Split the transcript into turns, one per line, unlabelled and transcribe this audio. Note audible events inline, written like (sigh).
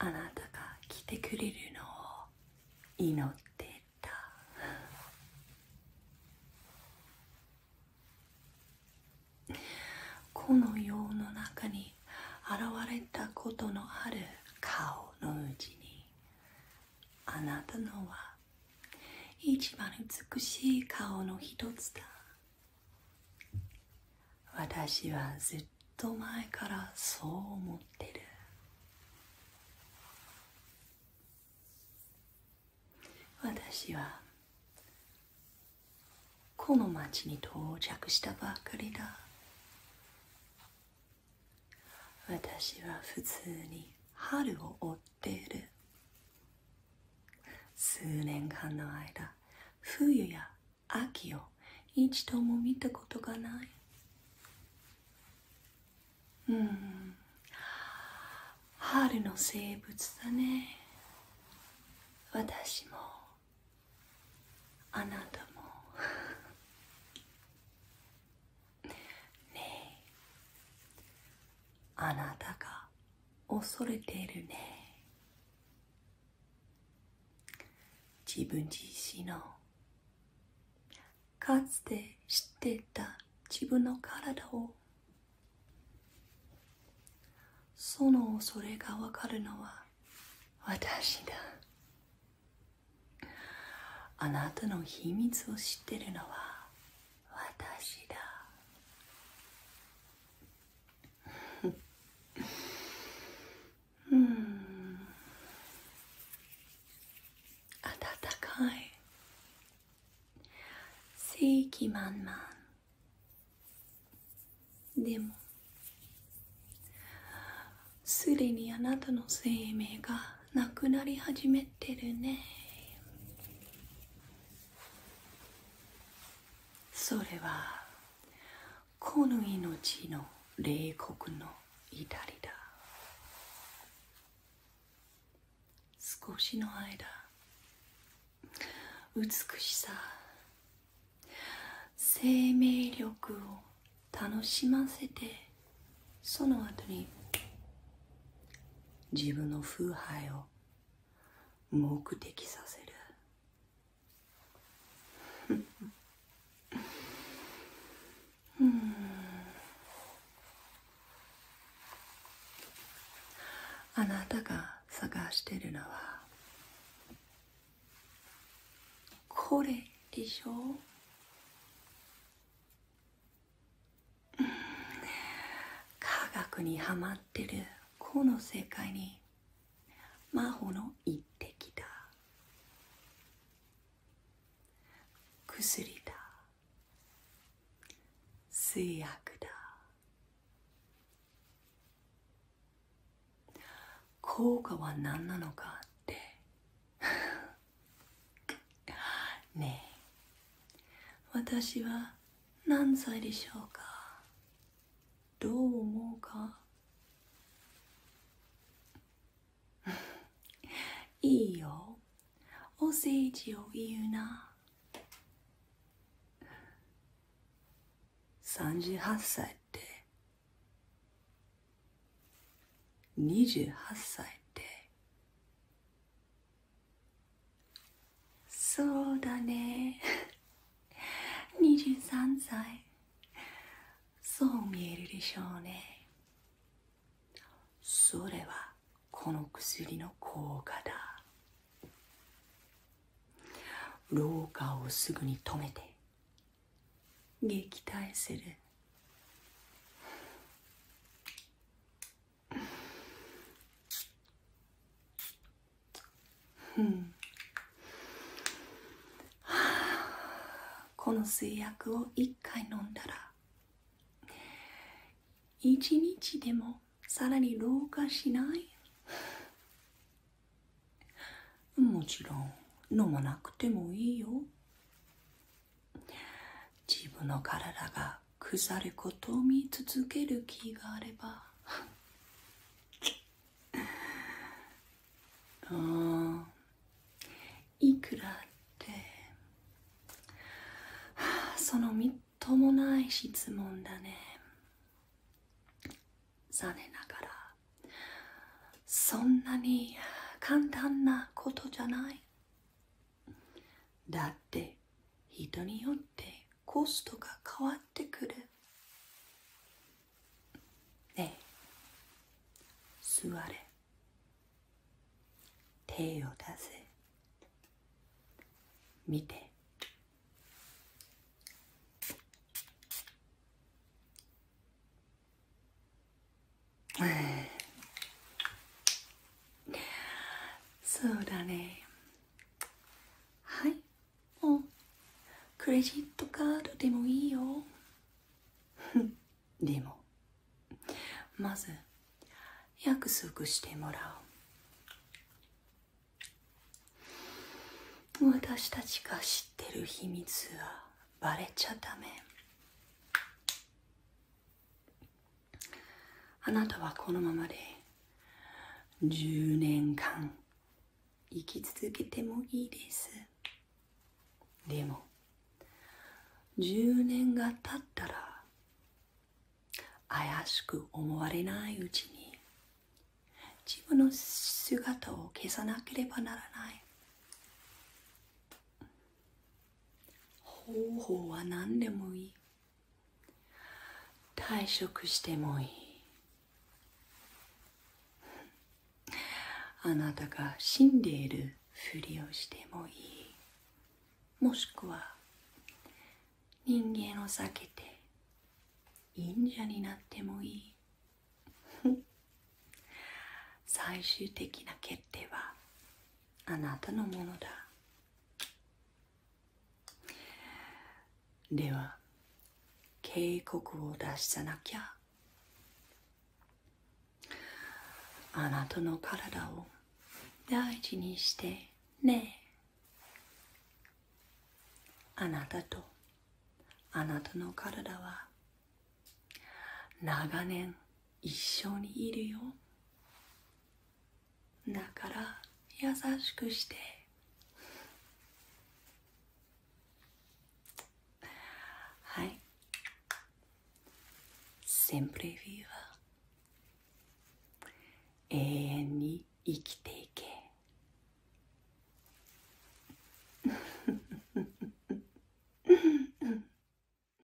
あなたが来てくれるのを祈ってこの世の中に現れたことのある顔のうちにあなたのは一番美しい顔の一つだ私はずっと前からそう思ってる私はこの町に到着したばかりだ私は普通に春を追っている数年間の間冬や秋を一度も見たことがないうん春の生物だね私もあなたも (laughs) ねあなたが恐れているね自分自身のかつて知ってた自分の体をその恐れがわかるのは私だあなたの秘密を知ってるのは私だうん暖かい正気満々でもすでにあなたの生命がなくなり始めてるねそれはこの命の冷酷の至りだ少しの間美しさ生命力を楽しませてその後に自分の風配を目的させるうん、あなたが探してるのはこれでしょ科学にはまってるこの世界に真帆の一滴だ薬だ製薬だ効果は何なのかって (laughs) ねえ私は何歳でしょうかどう思うか (laughs) いいよお世辞を言うな38歳って28歳ってそうだね23歳そう見えるでしょうねそれはこの薬の効果だ廊下をすぐに止めて撃退するうんこの水薬を1回飲んだら1日でもさらに老化しないもちろん飲まなくてもいいよ自分の体が腐ることを見続ける気があればちっあいくらってそのみっともない質問だね残念ながらそんなに簡単なことじゃないだって人によってコストが変わってくるねえ座れ手を出せ見てそうだねはいもうクレジットカードでもいいよ (laughs) でもまず約束してもらおう私たちが知ってる秘密はバレちゃダメあなたはこのままで10年間生き続けてもいいですでも10年が経ったら怪しく思われないうちに自分の姿を消さなければならない方法は何でもいい退職してもいいあなたが死んでいるふりをしてもいいもしくは人間を避けて忍者になってもいい最終的な決定はあなたのものだでは警告を出さなきゃあなたの体を大事にしてねあなたとあなたの体は長年一緒にいるよだから優しくしてはいセンプ p r e ーは。永遠に生きていけ Mm-hmm. (laughs)